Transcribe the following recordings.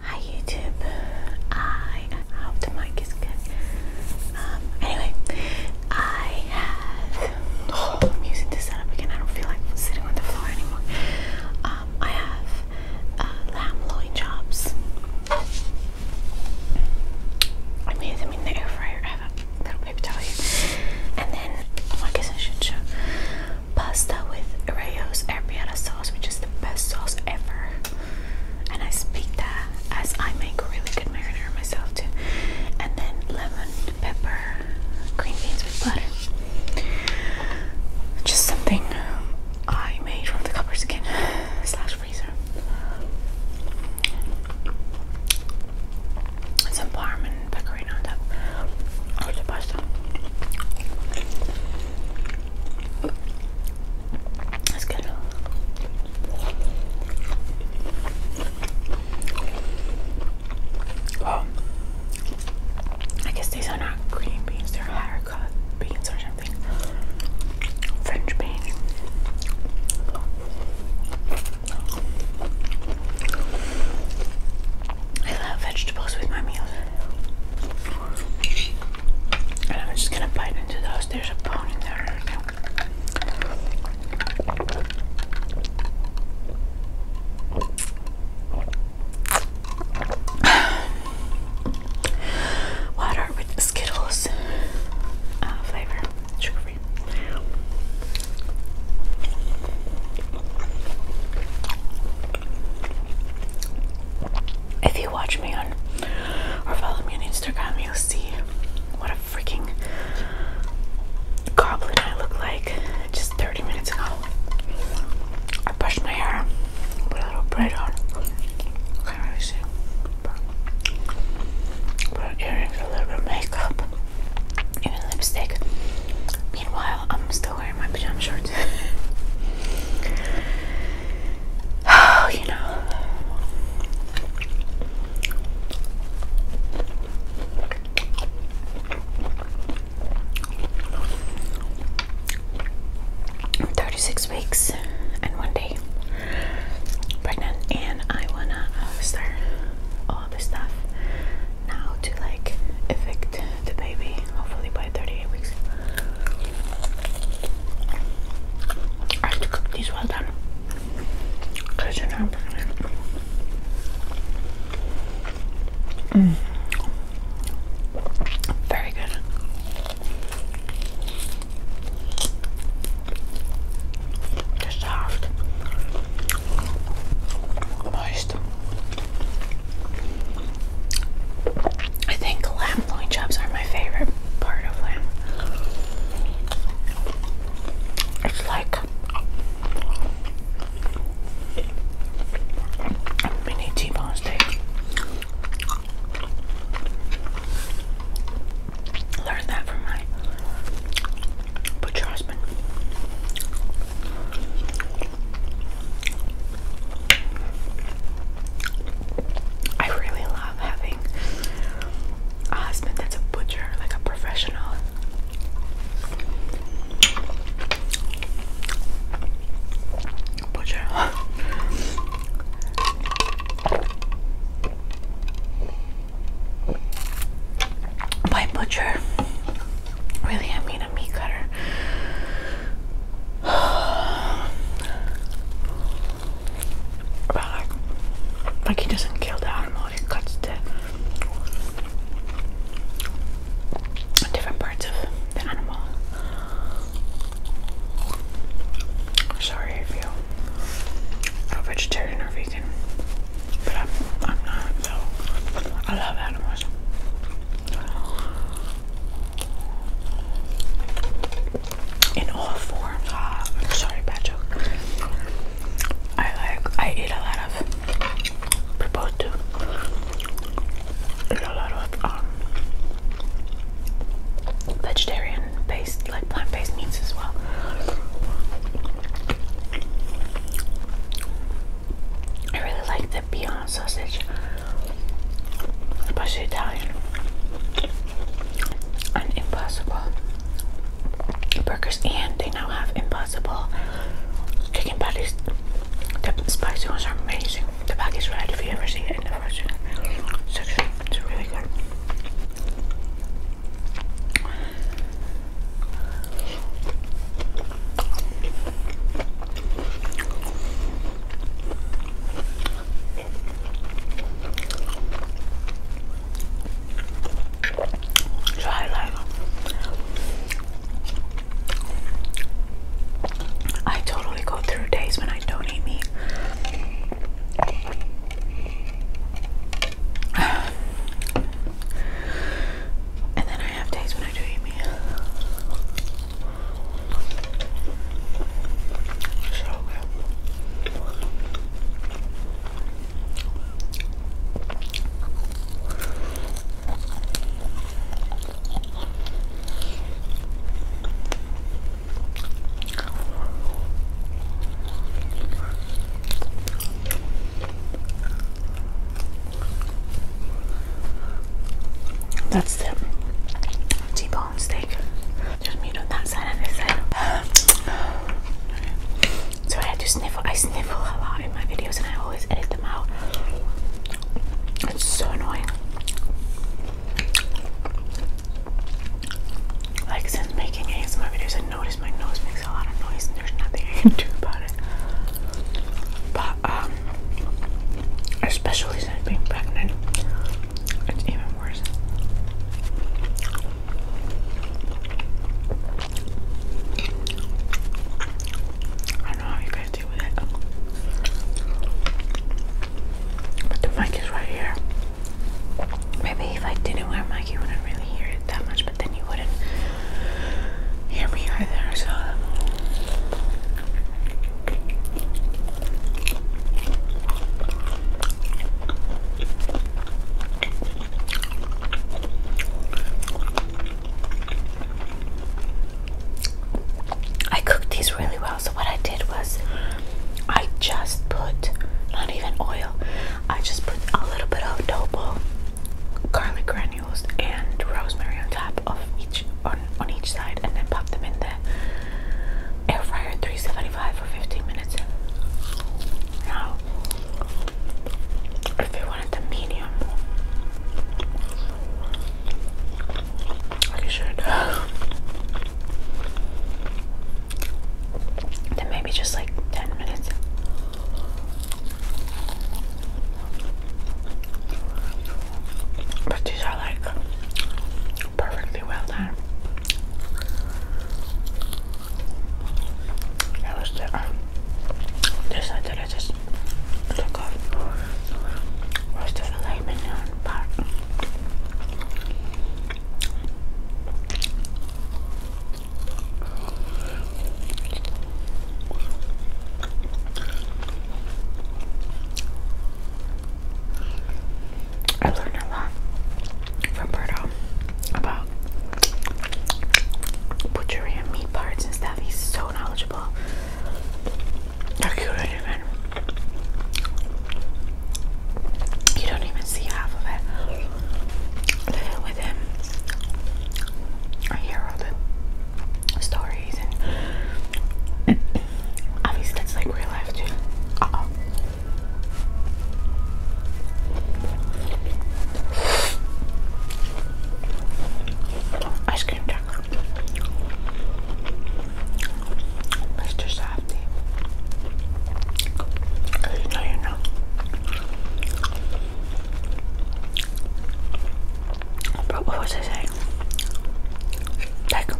Hi YouTube. I hope the mic is good. Um, anyway, I have. I'm using this setup again. I don't feel like sitting on the floor anymore. Um, I have uh, lamb loin chops. I made them in the air fryer. I have a little paper towel And then, oh, I guess I should show pasta with Rayo's arrabbiata sauce, which is the best sauce ever. And I speak that as I make really good marinara myself too. And then lemon, pepper, green beans with butter. Just something I made from the cupboard again slash freezer. It's some parmesan pecorino on top or That's good. Um, I guess these are not green beans, they're higher beans or something. French beans. I love vegetables with my meals. And I'm just gonna bite into those. There's a bone in there. Water with Skittles ah, flavor, sugar free. If you watch me on or follow me on Instagram, you'll see what a freaking goblin I look like just 30 minutes ago. I brushed my hair, put a little braid on. Can't really see. Put earrings, a little bit of makeup, even lipstick. Meanwhile, I'm still wearing my pajama shorts. you know. I'm 36 weeks and one day pregnant, and I wanna uh, start the stuff now to like evict the baby hopefully by 38 weeks. I have cook these well done because you're mm. Very good. they soft, moist, I think lamb loin chops are my favorite part of lamb. It's like a mini T-bone steak. Learned that from my butcher I really love having a husband that's a butcher, like a professional. Butcher. By butcher, really, I mean a meat cutter. but like, he doesn't kill the animal, he cuts the different parts of the animal. Sorry if you are vegetarian or vegan, but I'm, not, I love animals in all forms. Ah, i sorry, bad joke. I like I eat a lot of proposed to eat a lot of um vegetarian based like plant based meats as well. I really like Beyond sausage, but she's Italian. An impossible burgers, and they now have impossible chicken patties. The spicy ones are amazing. The bag is red if you ever see it in the frozen section. It's really good. Try like I totally go through days when I don't eat meat. And then I have days when I do eat meat. That's the T-bone steak. There's meat on that side and this side. So I had sniffle. I sniffle a lot in my videos and I always edit them out. It's so annoying. Like since making ASMR videos I noticed my nose makes a lot of noise and there's nothing I can do about it. But um, especially since being pregnant, it's even worse. I don't know how you guys deal with it. But the mic is right here. Maybe if I didn't wear a mic, you wouldn't really hear it that much, but then you wouldn't here we are there, so I cooked these really well. So, what I did was I just put not even oil, I just put a little bit of double garlic and rosemary on top of each on, on each side and then pop them in the air fryer 375 for 15 minutes. Now if you wanted the medium you should then maybe just like 10 minutes but these are like perfectly well done. That the um, this side that I just the filet part. I learned a lot from Berto about butchery meat parts and stuff. He's so knowledgeable. you, don't even see half of it. Living with him, I hear the stories obviously that's like real life too. Ice cream truck. Mr. Softy. Oh, you know you know. But what was I saying? Like,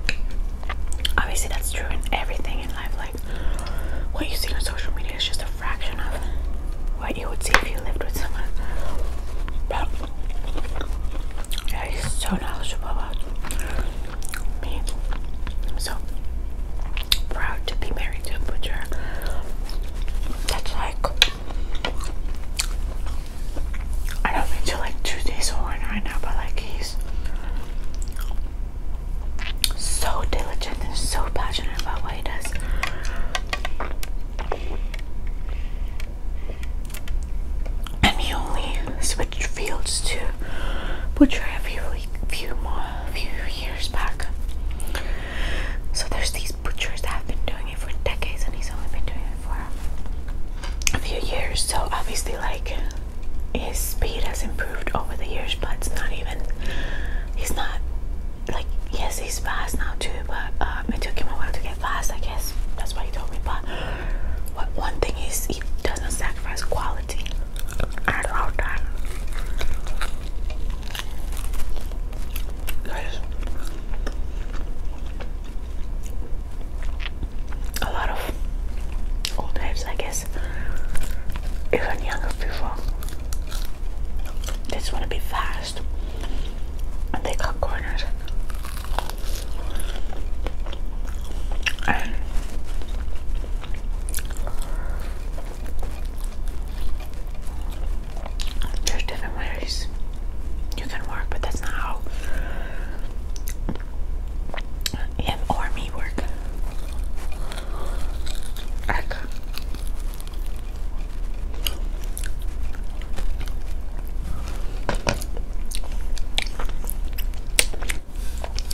obviously, that's true in everything in life. Like, what you see on social media is just a fraction of what you would see if you lived with someone. But yeah, so knowledgeable about me. so proud to be married to butcher. That's like I don't mean to like toot his horn right now, but like he's so diligent and so passionate about what he does. And he only switched fields to butcher a few, few more few years back. So there's these butchers that have been doing it for decades, and he's only been doing it for a few years, so obviously, like his speed has improved over the years, but it's not even. He's not like yes, he's fast now too, but um, it took him a while to get fast. I guess that's why he told me. But one thing is, he doesn't sacrifice quality. I love that a lot of old types, I guess, even younger people. They want to be fast, and they cut corners. And there's different ways you can work, but that's not how him or me work.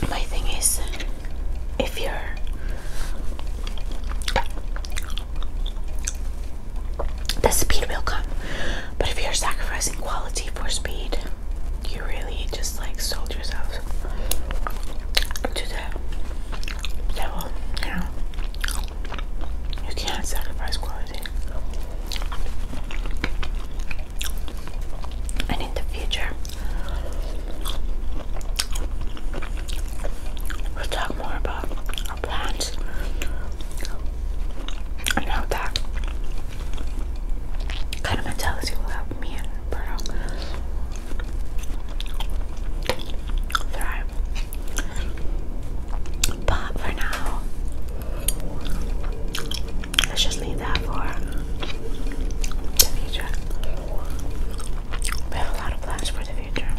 my thing is, if you're the speed will come. But if you're sacrificing quality for speed, you really just like sold yourself to the devil, you know. You can't sacrifice quality. And in the future, we'll talk more about I know that kind of mentality will help me and Berto thrive. But for now, let's just leave that for the future. We have a lot of plans for the future.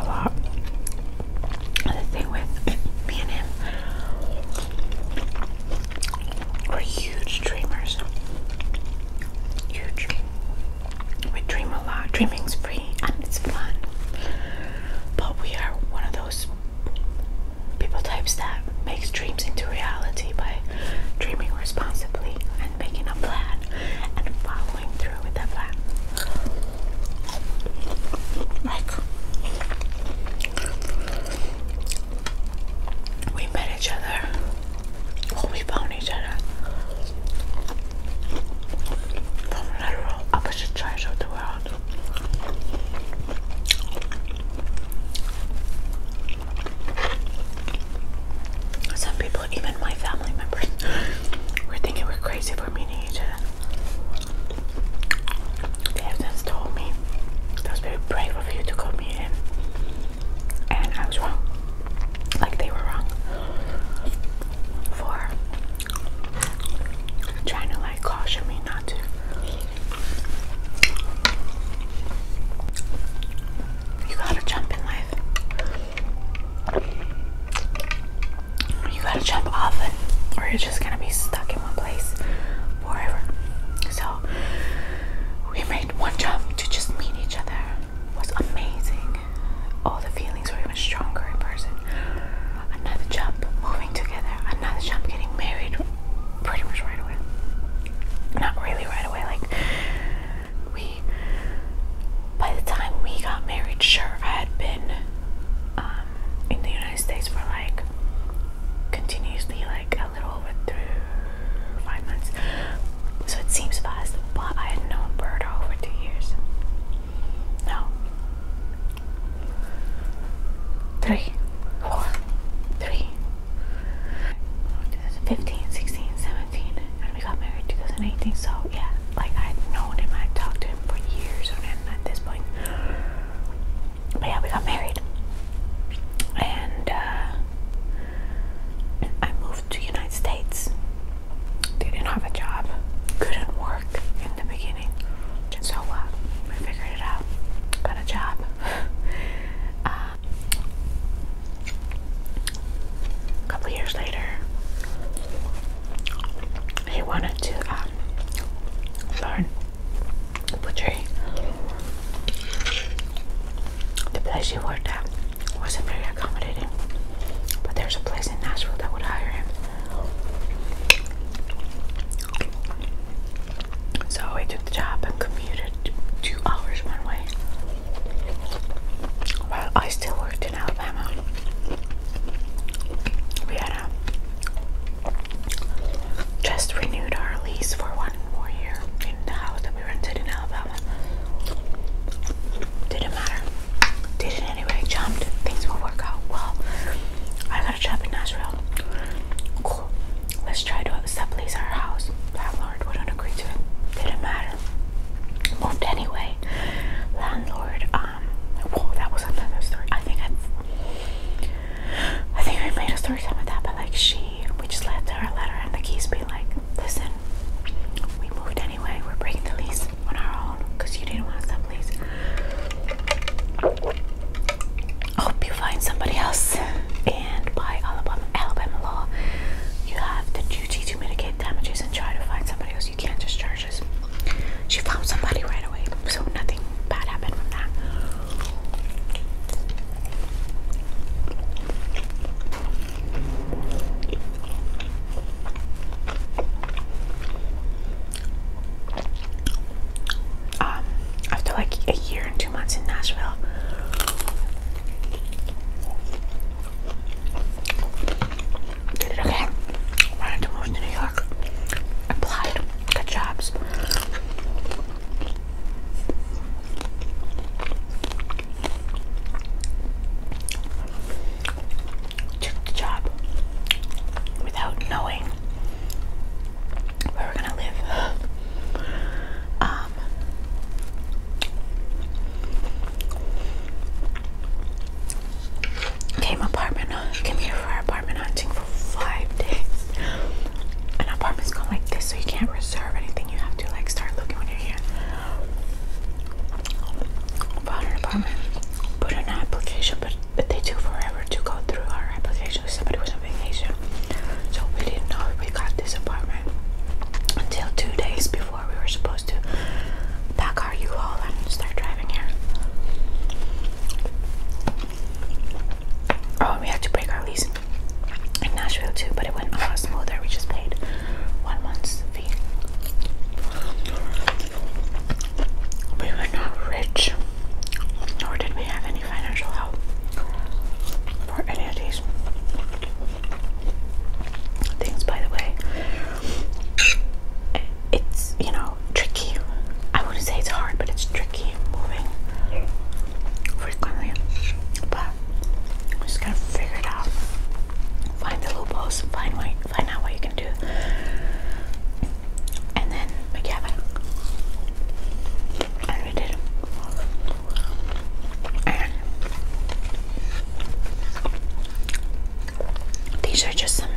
A lot the thing with me and him, we're huge dreamers. Huge. We dream a lot. Dreaming's free and it's fun. But we are one of those people types that makes dreams into reality by dreaming responsibly and making a plan and following through with that plan. Like we met each other we found each other from literal opposite sides of the world. Some people, even my family members, were thinking we're crazy for meeting each other. They told me that was very brave of you to call me in, and I was wrong. Like they were wrong for trying to like caution me not to. You gotta jump in life you gotta jump off it or you're just gonna be stuck in one place forever. So we made one jump to just meet each other it was amazing. All the feelings were even stronger in person. Another jump, moving together, another jump, getting married pretty much right away. Not really right away, like we by the time we got married, sure I had been um, in the United States for like continuously like a little over through five months. So it seems fast, but I had known Bird over two years. No. Three, four, three. 16, 17, and we got married 2018, so yeah like I'd known him, I'd talked to him for years and at this point. But yeah, we got married. And uh, I moved to United States. Didn't have a job. Couldn't work in the beginning. So uh, figured it out. Got a job. Um, a couple years later, he wanted to um, learn butchery. The place he worked at wasn't very accommodating, but there's a place in Nashville that would hire him. So he took the job and commuted two hours one way. While I still worked in Alabama, we just renewed our lease for one more year in the house that we rented in Alabama. Didn't matter. Did it anyway. Jumped. Things will work out well. I got a job in Nashville. Cool. Let's try to sublease our house. Landlord wouldn't agree to it. Didn't matter. Moved anyway. Landlord. Um, um that was another story I think I've I think we made a story time with that but like she we just left her a letter and the keys Be like listen we moved anyway we're breaking the lease on our own because you didn't want to sublease hope you find somebody else and by Alabama Alabama law you have the duty to mitigate damages and try to find somebody who's you can't just charge us. She found somebody right away, so nothing bad happened from that. Um, after like a year and two months in Nashville, did it okay. Wanted to move to New York. Applied. Got jobs. Took the job without knowing where we're gonna live. Um came apartment came here for apartment hunting for five days. And apartments going like this, so you can't reserve anything. You have to like start looking when you're here. Found an apartment, put an application, but but they took forever to go through our application. Somebody was on vacation, so we didn't know we got this apartment until two days before we were supposed to pack car U-Haul and start driving here. Oh, we had to break our lease in Nashville too, but it went a lot smoother. We just paid one month's fee. We were not rich, nor did we have any financial help for any of these things, by the way it's you know tricky. I wouldn't say it's hard, but it's tricky moving frequently. But I'm just gonna figure it out. Find the loopholes. Find way, find out what you can do, and then make it happen. And we did. And these are just some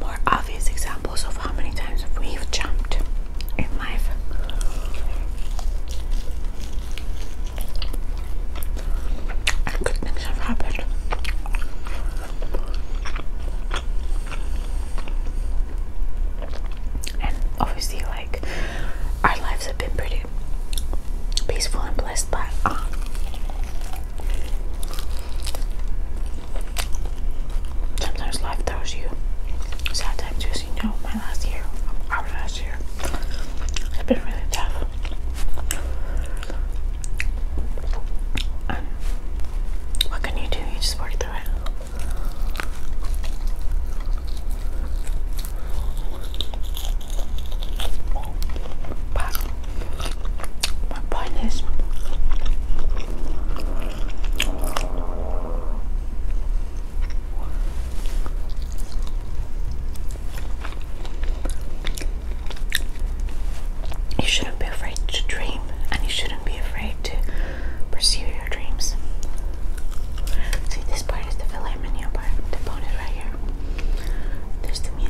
more obvious examples of how many times we've jumped in life. And good things have happened. And obviously, like, our lives have been pretty peaceful and blessed, but uh, Sometimes life throws you. Sometimes just you know, my last year, our last year, it's been really tough. what can you do? You just work through it. My point is, you shouldn't be afraid to dream, and you shouldn't be afraid to pursue your dreams. See, this part is the filet mignon part, the bone right here to me.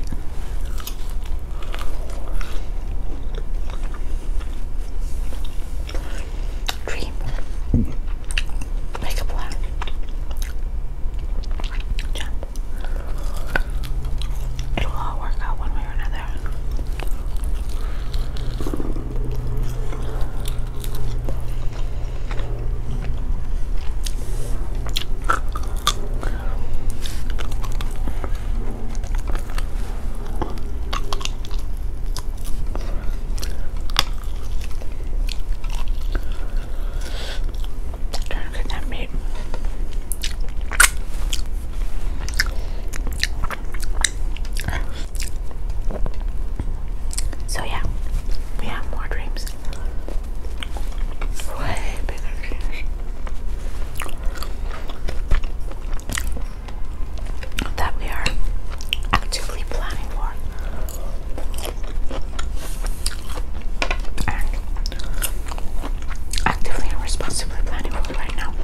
Dream. Make a plan. Jump. It'll all work out one way or another. Trying to get that meat. So yeah, we have more dreams. Way bigger dreams that we are actively planning for. And actively and responsibly planning for right now.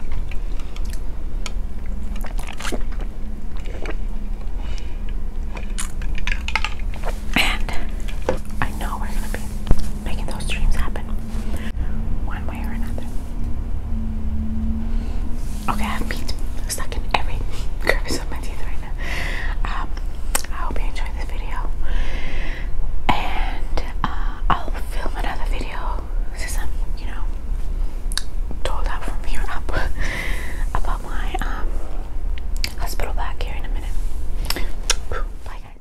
And I know we're gonna be making those dreams happen one way or another. Okay, I have meat stuck in every crevice of my teeth right now. Um, I hope you enjoyed this video. And uh, I'll film another video since i you know, told out from here up about my um, hospital back here in a minute. Bye, guys.